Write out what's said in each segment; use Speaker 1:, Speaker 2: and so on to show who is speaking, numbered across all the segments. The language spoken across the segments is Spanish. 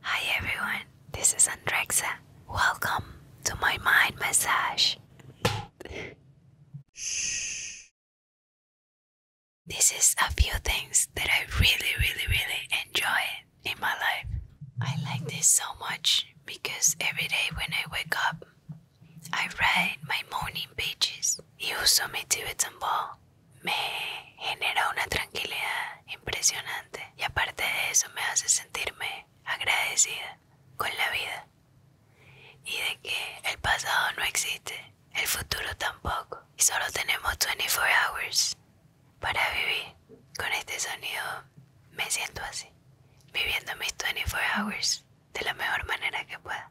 Speaker 1: Hi everyone, this is Andrexa. Welcome to my mind massage. this is a few things that I really, really, really enjoy in my life. I like this so much because every day when I wake up, I write my morning pages y uso mi Tibetan ball. Me genera una tranquilidad impresionante. y aparte de eso me hace sentirme agradecida con la vida y de que el pasado no existe, el futuro tampoco y solo tenemos 24 hours para vivir. Con este sonido me siento así, viviendo mis 24 hours de la mejor manera que pueda.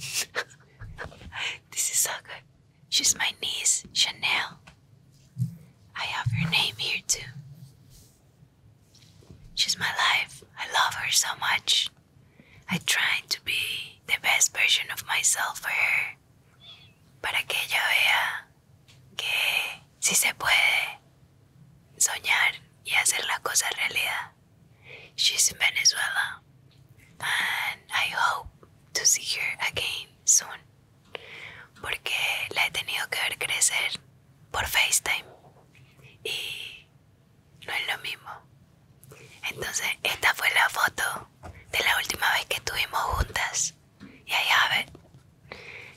Speaker 1: this is so good. She's my niece, Chanel. I have her name here too. She's my life. I love her so much. I try to be the best version of myself for her. Para que ella vea que Si se puede soñar y hacer la cosa realidad. She's in Venezuela and I hope to see her again soon. Porque la he tenido que ver crecer por FaceTime y no es lo mismo. Entonces, esta fue la foto de la última vez que estuvimos juntas. Y ahí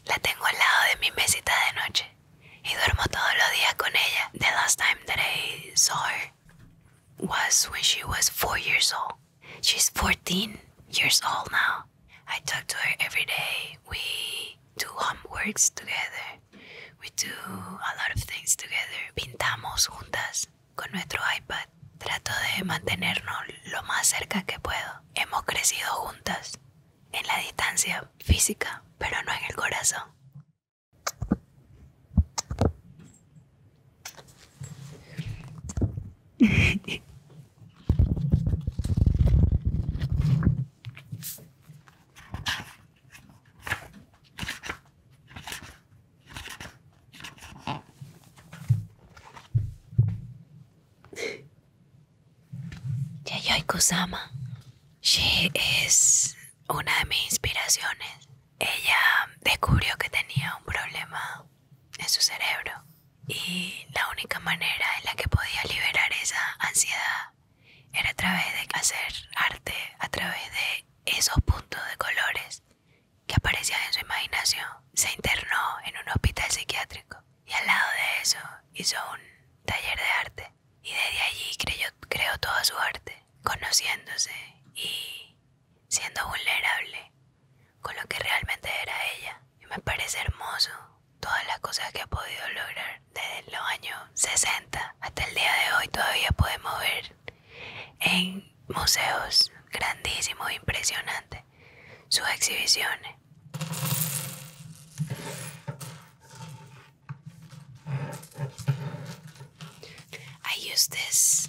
Speaker 1: La tengo al lado de mi mesita de noche y duermo todos los días con ella. The last time that I saw her was when she was four years old. She's 14 years old now. I talk to her every day. We do homeworks together. We do a lot of things together. Pintamos juntas con nuestro iPad. Trato de mantenernos lo más cerca que puedo. Hemos crecido juntas en la distancia física, pero no en el corazón. Yayoi Kusama. She es una de mis inspiraciones. Ella descubrió que tenía un problema en su cerebro y la única manera en la que podía liberar esa ansiedad era a través de hacer arte, a través de esos puntos de colores que aparecían en su imaginación. Se internó en un hospital psiquiátrico y al lado de eso hizo un taller de arte y desde allí creo toda su arte, conociéndose y siendo vulnerable con lo que realmente era ella. Y me parece hermoso todas las cosas que ha podido lograr desde los años 60 hasta el día de hoy. Todavía podemos ver en museos grandísimos, impresionantes, sus exhibiciones. I use this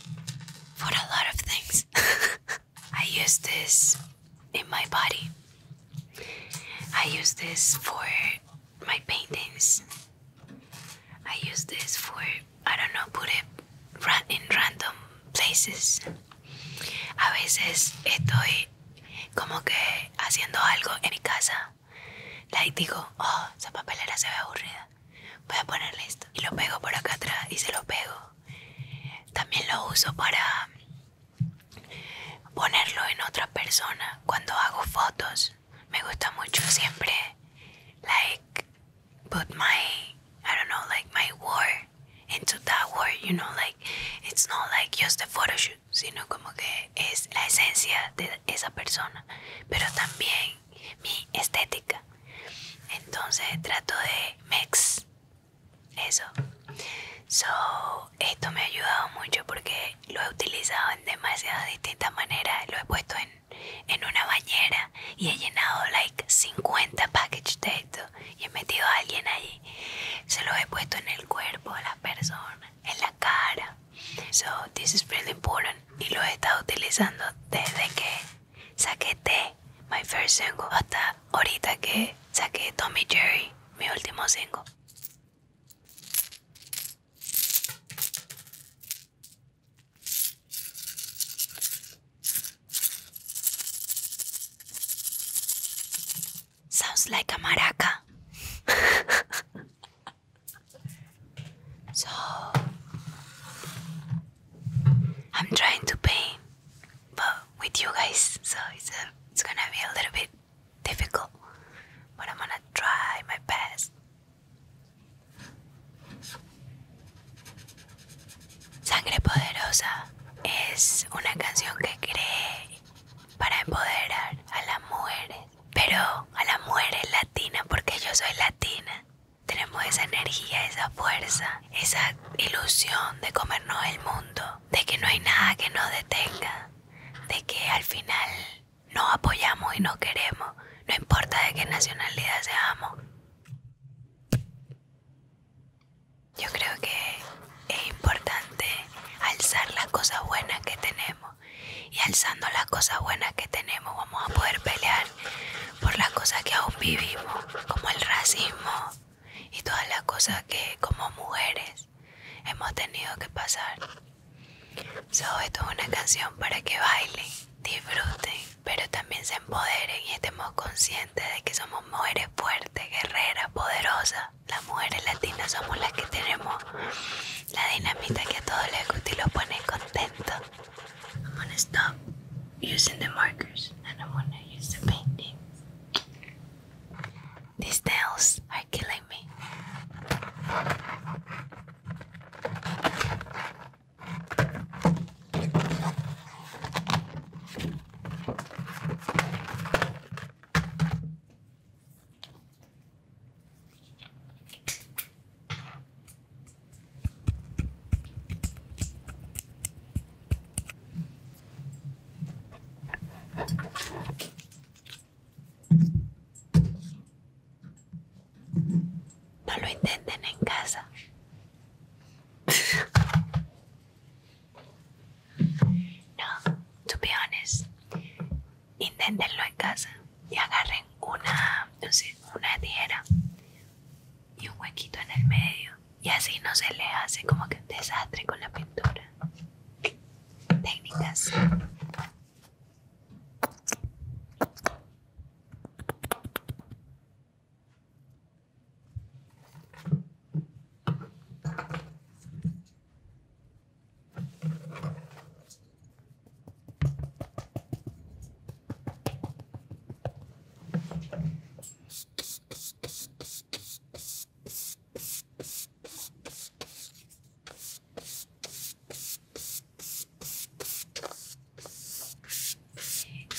Speaker 1: for a lot of things. I use this in my body. I use this for my paintings. I use this for, I don't know, put it in random places. A veces estoy como que haciendo algo en mi casa, like digo, oh, esa papelera se ve aburrida, voy a ponerle esto y lo pego por acá atrás y se lo pego. También lo uso para ponerlo en otra persona cuando hago fotos. Me gusta mucho siempre, like, put my, I don't know, like my word into that word, you know, like, it's not like just a photo shoot sino como que es la esencia de esa persona, pero también mi estética. Entonces trato de mix eso. So, esto me ha ayudado mucho porque lo he utilizado en demasiadas distintas maneras. Lo he puesto en, una bañera y he llenado like 50 packages de esto y he metido a alguien allí. Se lo he puesto en el cuerpo de la persona en la cara. So this is really important. Y lo he estado utilizando desde que saqué T, my first single, hasta ahorita que saqué Tommy Jerry, mi último single. Sounds like a maraca. so I'm trying to paint, but with you guys, so it's a, uh, it's gonna be a little bit difficult. But I'm gonna try my best. Sangre Poderosa es una canción que creé para empoderar a las mujeres, pero a las mujeres latinas, porque yo soy latina. Tenemos esa energía, esa fuerza, esa ilusión de comernos el mundo, de que no hay nada que nos detenga, de que al final nos apoyamos y nos queremos, no importa de qué nacionalidad seamos. Yo creo que es importante alzar las cosas buenas que tenemos y alzando las cosas buenas que tenemos vamos a poder pelear por las cosas que aún vivimos, como el racismo y todas las cosas que como mujeres hemos tenido que pasar. So, esto es una canción para que bailen, disfruten, pero también se empoderen y estemos conscientes de que somos mujeres fuertes, guerreras, poderosas la mujeres latinas somos las que tenemos la dinamita que a todos les gusta y lo pone contento. I'm gonna stop using the markers and I'm gonna use the painting. These nails are killing me. No lo intenten en casa. No, to be honest, inténtenlo en casa y agarren una, no sé, una tijera y un huequito en el medio y así no se le hace como que un desastre con la pintura. Técnicas.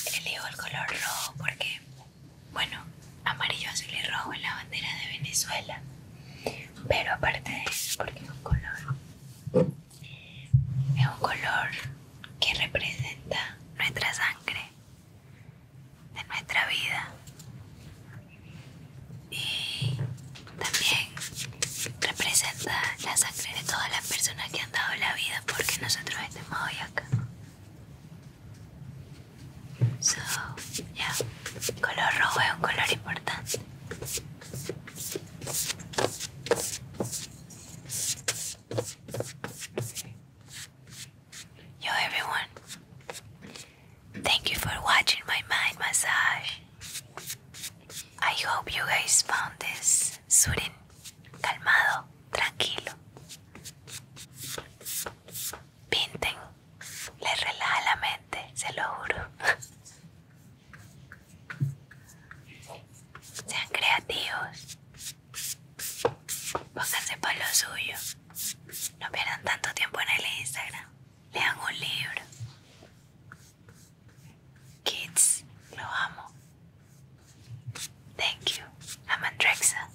Speaker 1: Elijo el color rojo porque, bueno, amarillo, azul y rojo en la bandera de Venezuela. Pero aparte de eso, porque es un color, es un color que representa nuestra sangre, de nuestra vida. Y también representa la sangre de todas las personas que han dado la vida porque nosotros estemos hoy acá. So, yeah, color rojo es un color importante. Yo, everyone, thank you for watching my mind massage. I hope you guys found this soothing, calmado, tranquilo, pinten les relaja la mente, se lo juro. Sean creativos. Pónganse para lo suyo. No pierdan tanto tiempo en el Instagram. Lean un libro. Kids, lo amo. Thank you, Amandrexa.